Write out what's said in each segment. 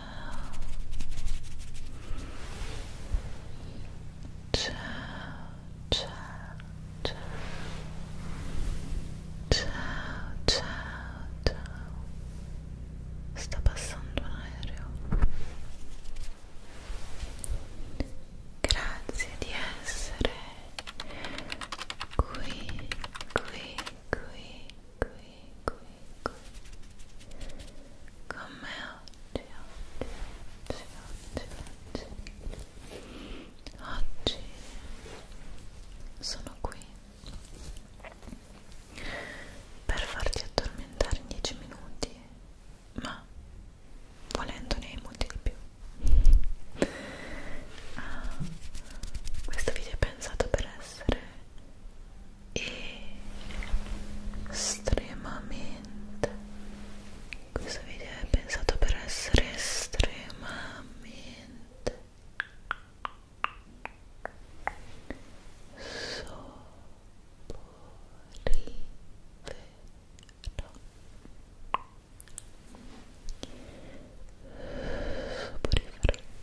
ciao ciao ciao ciao ciao ciao sta passando un aereo grazie di essere qui qui qui qui qui qui, qui, con me oggi, oggi, oggi, oggi, oggi, oggi sono qui per farti addormentare in 10 minuti, ma volendone hai molti di più. Ah, questo video è pensato per essere e estremamente questo video è pensato per essere estremamente soporifero soporifero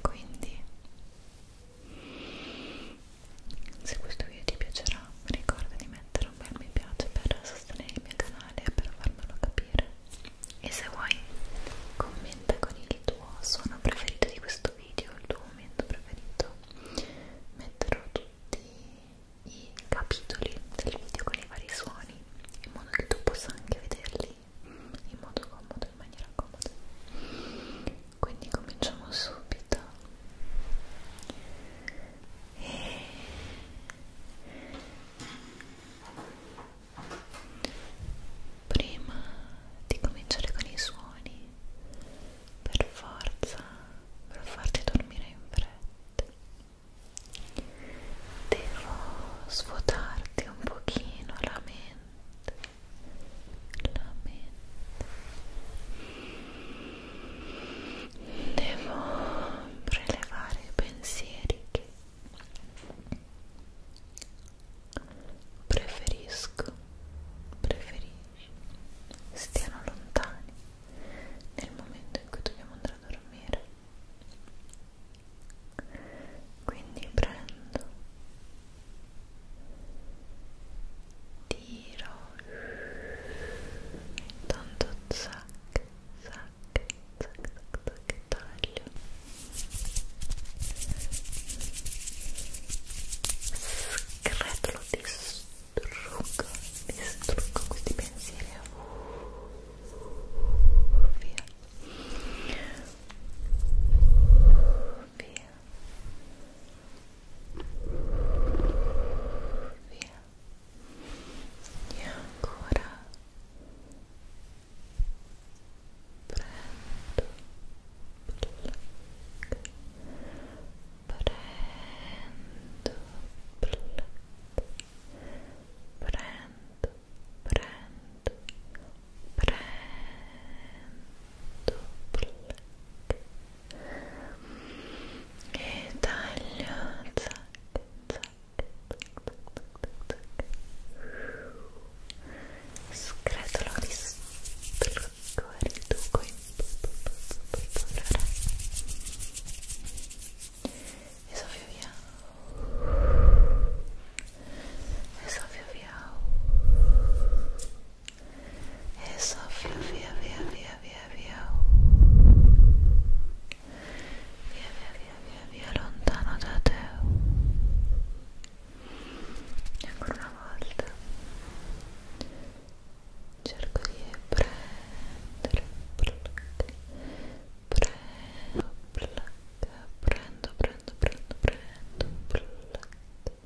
quindi se questo video ti piacerà ricorda di mettere un bel mi piace per sostenere il mio canale e per farmelo capire e se vuoi commenta con il tuo suono preferito di questo video il tuo momento preferito metterò tutti i capitoli del video con i vari suoni in modo che tu possa anche vederli in modo comodo, in maniera comoda quindi cominciamo subito e... prima di cominciare con i suoni per forza per farti dormire in fretta devo svuotarti un pochino la mente la mente devo prelevare i pensieri che preferisco preferisci stiano lontani nel momento in cui dobbiamo andare a dormire quindi prendo tiro tanto zac zac zac zac taglio scretolo distruggo distruggo questi pensieri via via via e ancora prendo prendo prendo prendo prendo prendo black e taglio zac, zac, zac, zac. scretolo di strucco e riduco in polvere e soffio via e soffia via e soffia via via via via via via via via via via lontano da te e ancora una volta cerco di prendere prendo prendo prendo prendo prendo prendo prendo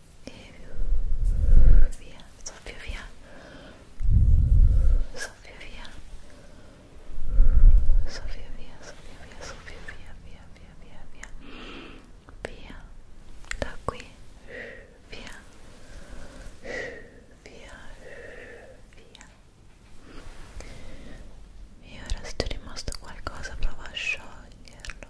e via, soffio via, soffio via, soffio via, soffio via, soffio via, via, via, via, via, via, da qui, via, via, via. E ora se ti è rimasto qualcosa prova a scioglierlo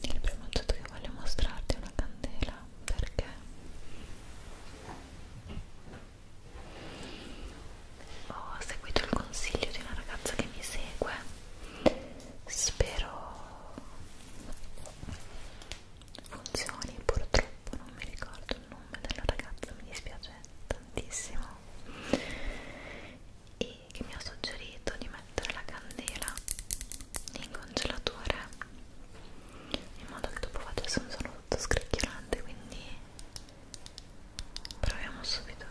Il primo oggetto che voglio mostrarti è una candela perché ho seguito il consiglio di una ragazza che mi segue spero funzioni purtroppo non mi ricordo il nome della ragazza mi dispiace tantissimo e che mi ha suggerito di mettere la candela in congelatore in modo che dopo facesse un suono tutto scricchiolante quindi proviamo subito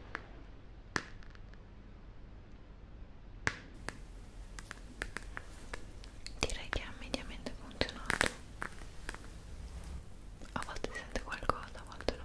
Direi che ha mediamente funzionato. A volte sente qualcosa, a volte no.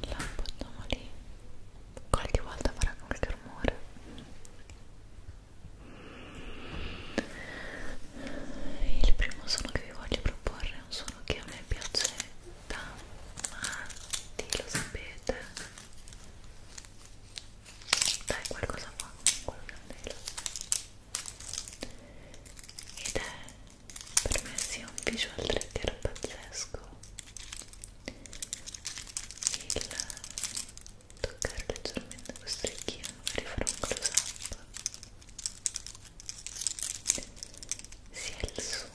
la buttiamo lì qualche volta farà qualche rumore il primo suono che vi voglio proporre è un suono che a me piace da matti, lo sapete dai qualcosa qua con la candela ed è per me sia un visual trigger pazzesco il toccare leggermente questo orecchino magari fare un close up sia il suono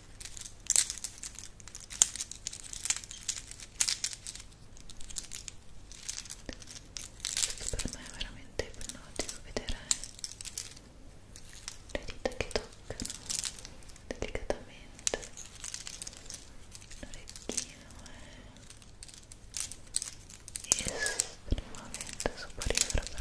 questo per me è veramente ipnotico vedere le dita che toccano delicatamente l'orecchino eh. è estremamente superiore per me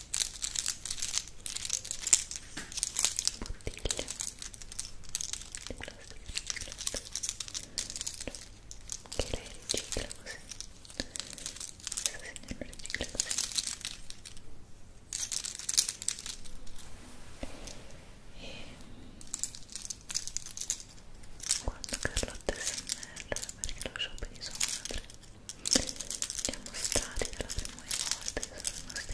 bottiglia di plastica riciclata che lei ricicla così questa signora ricicla così e quando Carlotta SMR perché lo shopping di sua madre siamo stati dalla prima volta che sono rimasti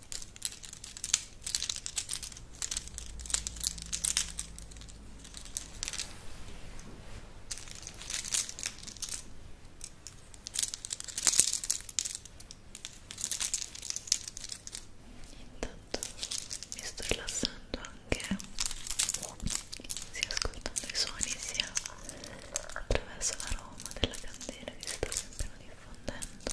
Intanto mi sto rilassando anche sia ascoltando i suoni sia attraverso l'aroma della candela che si sta sempre diffondendo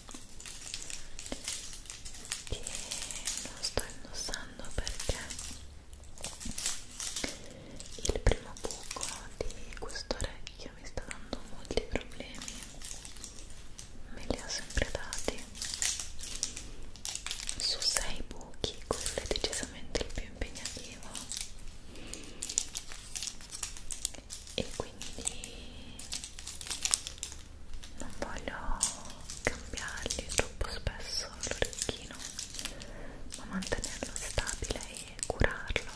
che non sto indossando perché il primo buco di questo orecchio mi sta dando molti problemi me li ho sempre dati su sei buchi quello è decisamente il più impegnativo e quindi non voglio cambiargli troppo spesso l'orecchino ma mantenerlo stabile e curarlo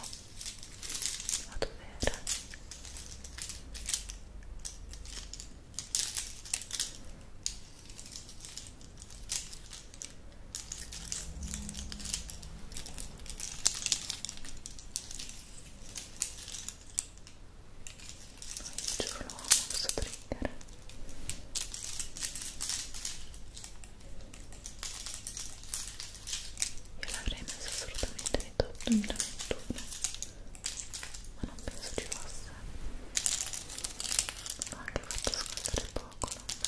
a dovere giuro lo amo questo trigger io l'avrei messo assolutamente nei top 2021 ma non penso ci fosse l'ho anche fatto ascoltare poco, lo ammetto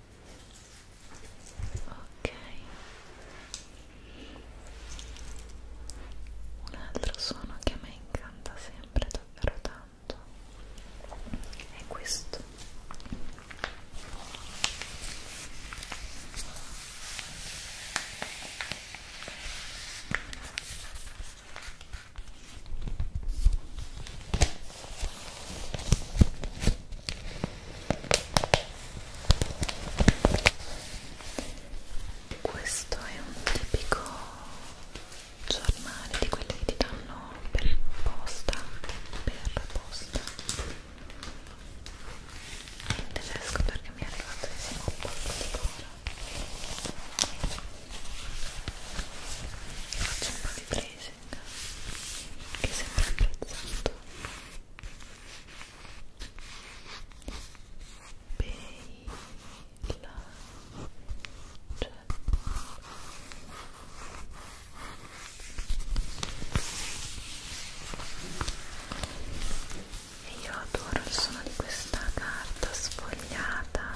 ok un altro suono che a me incanta sempre davvero tanto è questo questo è un tipico giornale di quelli che ti danno per posta per posta in tedesco perché mi è arrivato insieme un po' di coro faccio un po' di prese Ising che sembra apprezzato bella cioè e io adoro il suono di questa carta sfogliata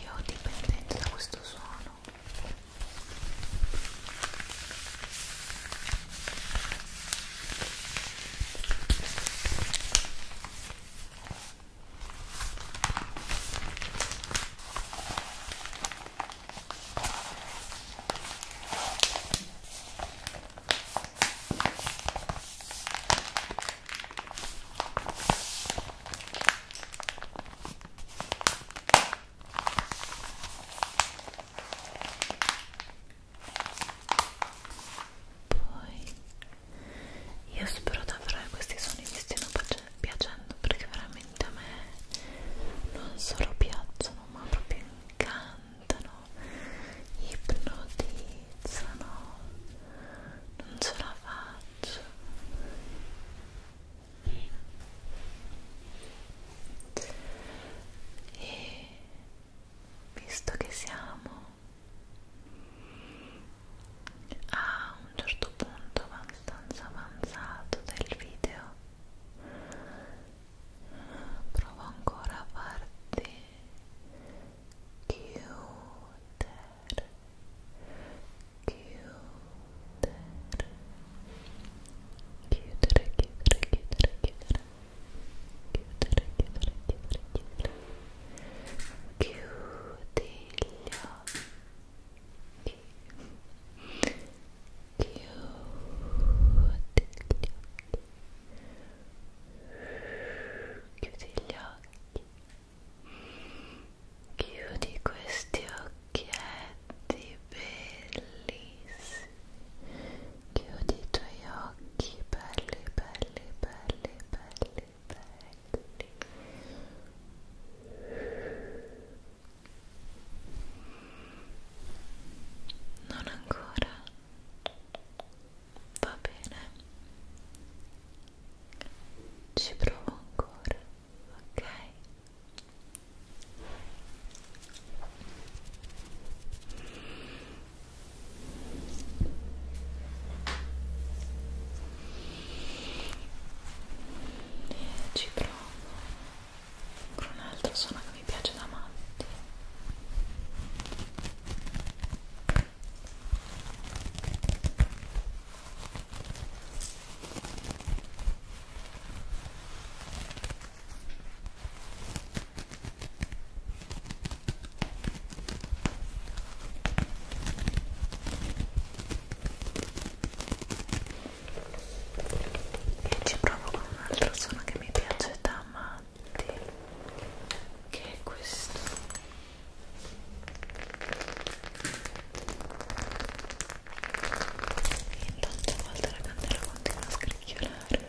Io dipendente da questo suono poi io spero davvero che questi suoni mi stiano piacendo perché veramente a me non solo piacciono ma proprio incantano, ipnotizzano, non ce la faccio. E visto che siamo a un certo punto abbastanza avanzato del video provo ancora a farti chiudere chiudere chiudere chiudere chiudere chiudere chiudere chiudere chiudere chiudere chiudi gli occhi cute. Chiudi gli occhi. Chiudi questi occhietti bellissimi. Chiudi i tuoi occhi belli, belli, belli, belli, belli. Non ancora. Va bene. Ci provo ancora, ok? E ci provo con un altro suono che mi piace da matti e ci provo con un altro suono che mi piace da matti che è questo e intanto a volte la candela continua a scricchiolare e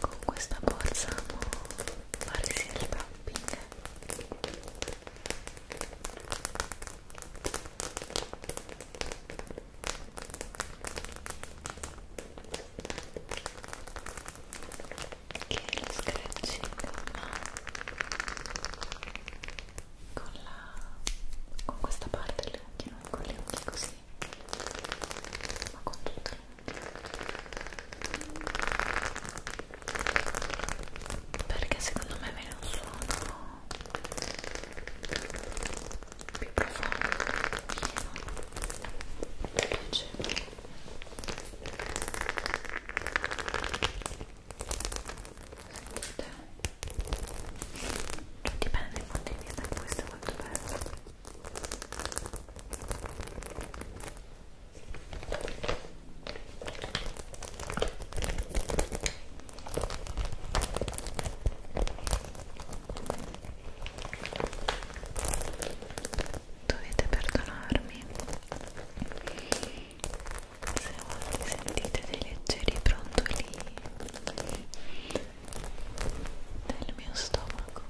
con questa borsa fare sia il tapping che lo scratching ma con, la, con questa parte delle unghie, non con le unghie così, ma con tutte le unghie perché secondo me viene un suono più profondo, pieno, piacevole sentite cioè, dipende dai punti di vista questo è molto bello Dovete perdonarmi se voi sentite dei leggeri brontoli nel mio stomaco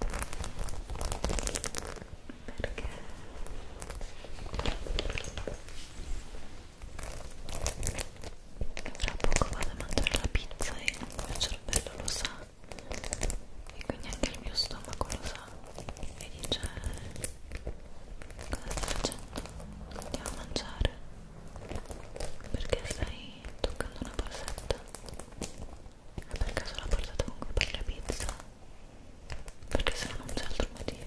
perché tra poco vado a mangiare la pizza e il mio cervello lo sa e quindi anche il mio stomaco lo sa e dice eh, cosa stai facendo? andiamo a mangiare perché stai toccando una borsetta? È per caso la borsetta con cui fai la pizza? Perché se no non c'è altro motivo.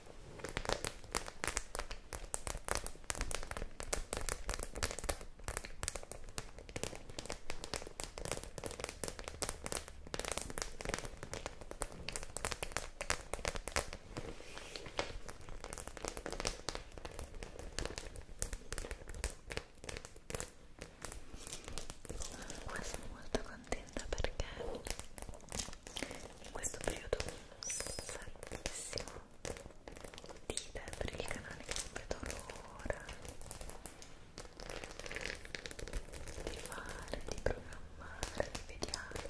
Estoy pues, muy contenta porque. in questo periodo un sacchissimo di idee per il canale che non vedo l'ora di fare, di programmare, di vediate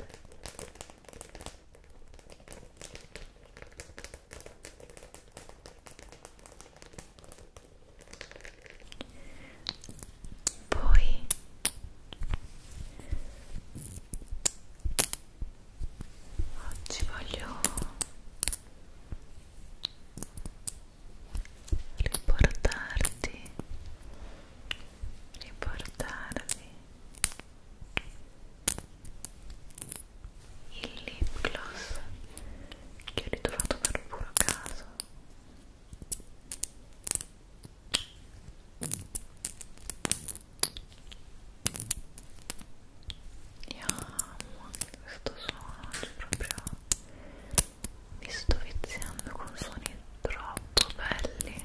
poi oggi voglio riportarti riportarvi il lip gloss che ho ritrovato per puro caso io amo questo suono, cioè proprio mi sto viziando con suoni troppo belli.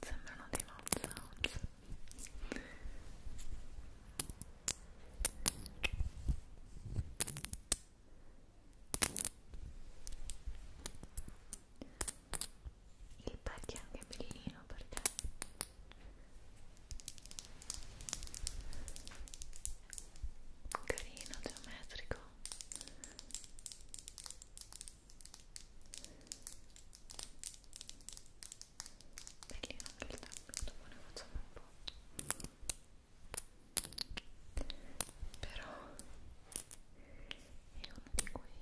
Sembrano di Mount Sounds il pack è anche bellino perché carino, geometrico Bellino anche il tappeto, dopo ne facciamo un po'. Però è uno di quei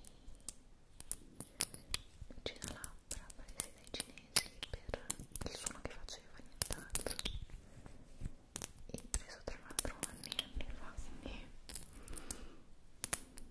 lucina labbra presi dai cinesi per il suono che faceva nient'altro. E preso tra l'altro anni e anni fa, quindi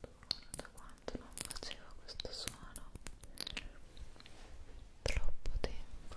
Adoro da quanto non facevo questo suono troppo tempo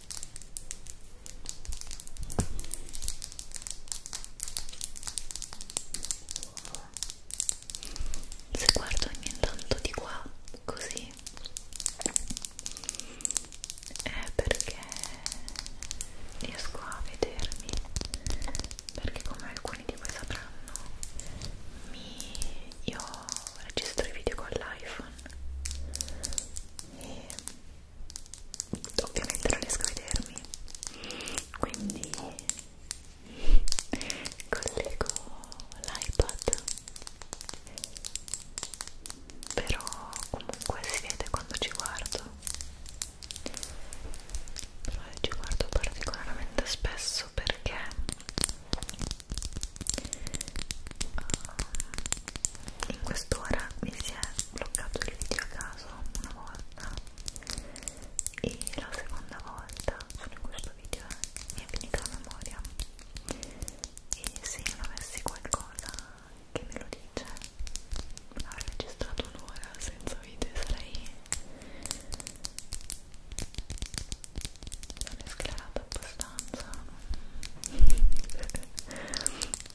se guardo ogni tanto di qua così è perché riesco a vedermi perché come alcuni di voi sapranno mi... io registro i video con l'iPhone e ovviamente non riesco a vedermi quindi collego l'iPad però comunque si vede quando ci guardo però ci guardo particolarmente spesso perché um, in quest'ora mi si è bloccato il video a caso una volta e la seconda volta sono in questo video e eh, è finita la memoria e se non avessi qualcosa che me lo dice avrei registrato un'ora senza video sarei non è sclerata abbastanza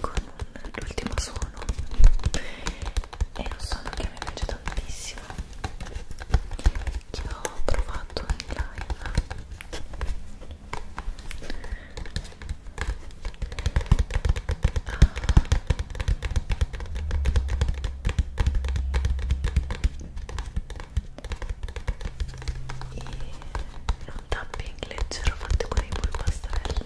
con l'ultimo suono è un suono che mi piace tantissimo che ho provato in live ah. e un tapping leggero fatto con i polpastrelli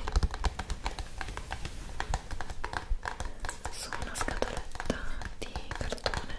su una scatoletta di cartone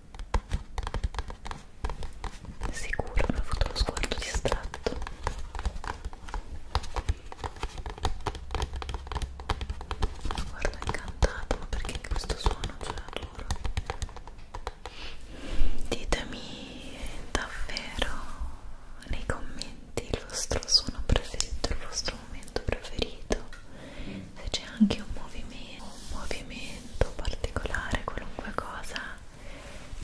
Sicuro mi ha fatto lo sguardo distratto. Guarda, incantato, ma perché questo suono ce cioè, l'adoro? Ditemi davvero nei commenti il vostro suono preferito, il vostro momento preferito se c'è anche un movimento, un movimento particolare, qualunque cosa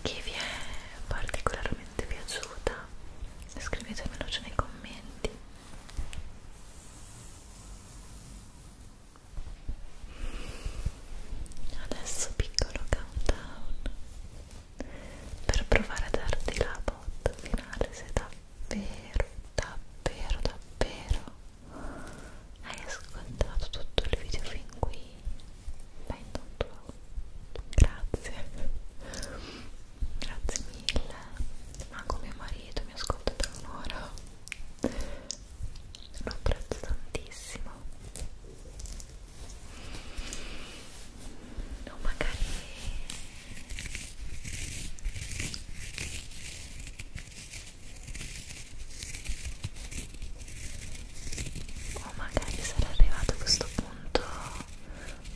che vi è particolarmente piaciuta, scrivetemelo nei commenti. Adesso piccolo countdown per provare a darti la botta finale se davvero, davvero, davvero hai ascoltato tutto il video fin qui beh intanto grazie grazie mille anche mio marito mi ascolta per un'ora lo apprezzo tantissimo o magari o magari sarà arrivato a questo punto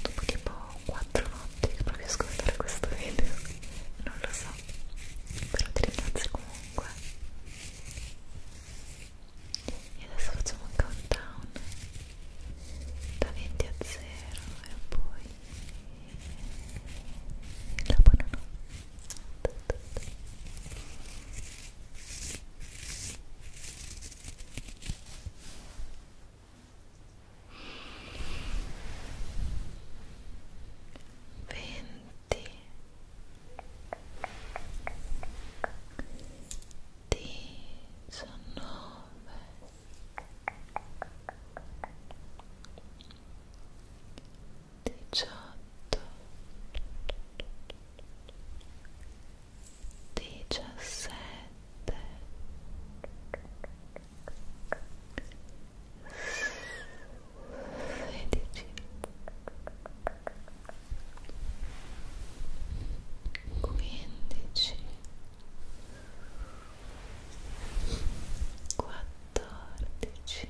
dopo tipo 4 notti che provi a ascoltare questo video non lo so però ti ringrazio comunque e adesso facciamo un countdown da 20 a 0 e poi la buonanotte venti diciannove diciotto, diciassette, sedici, quindici, quattordici.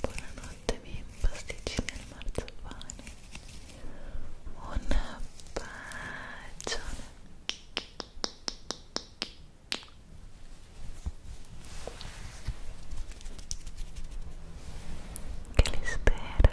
Buonanotte miei pasticcini al marzapane Un bacione Che li spera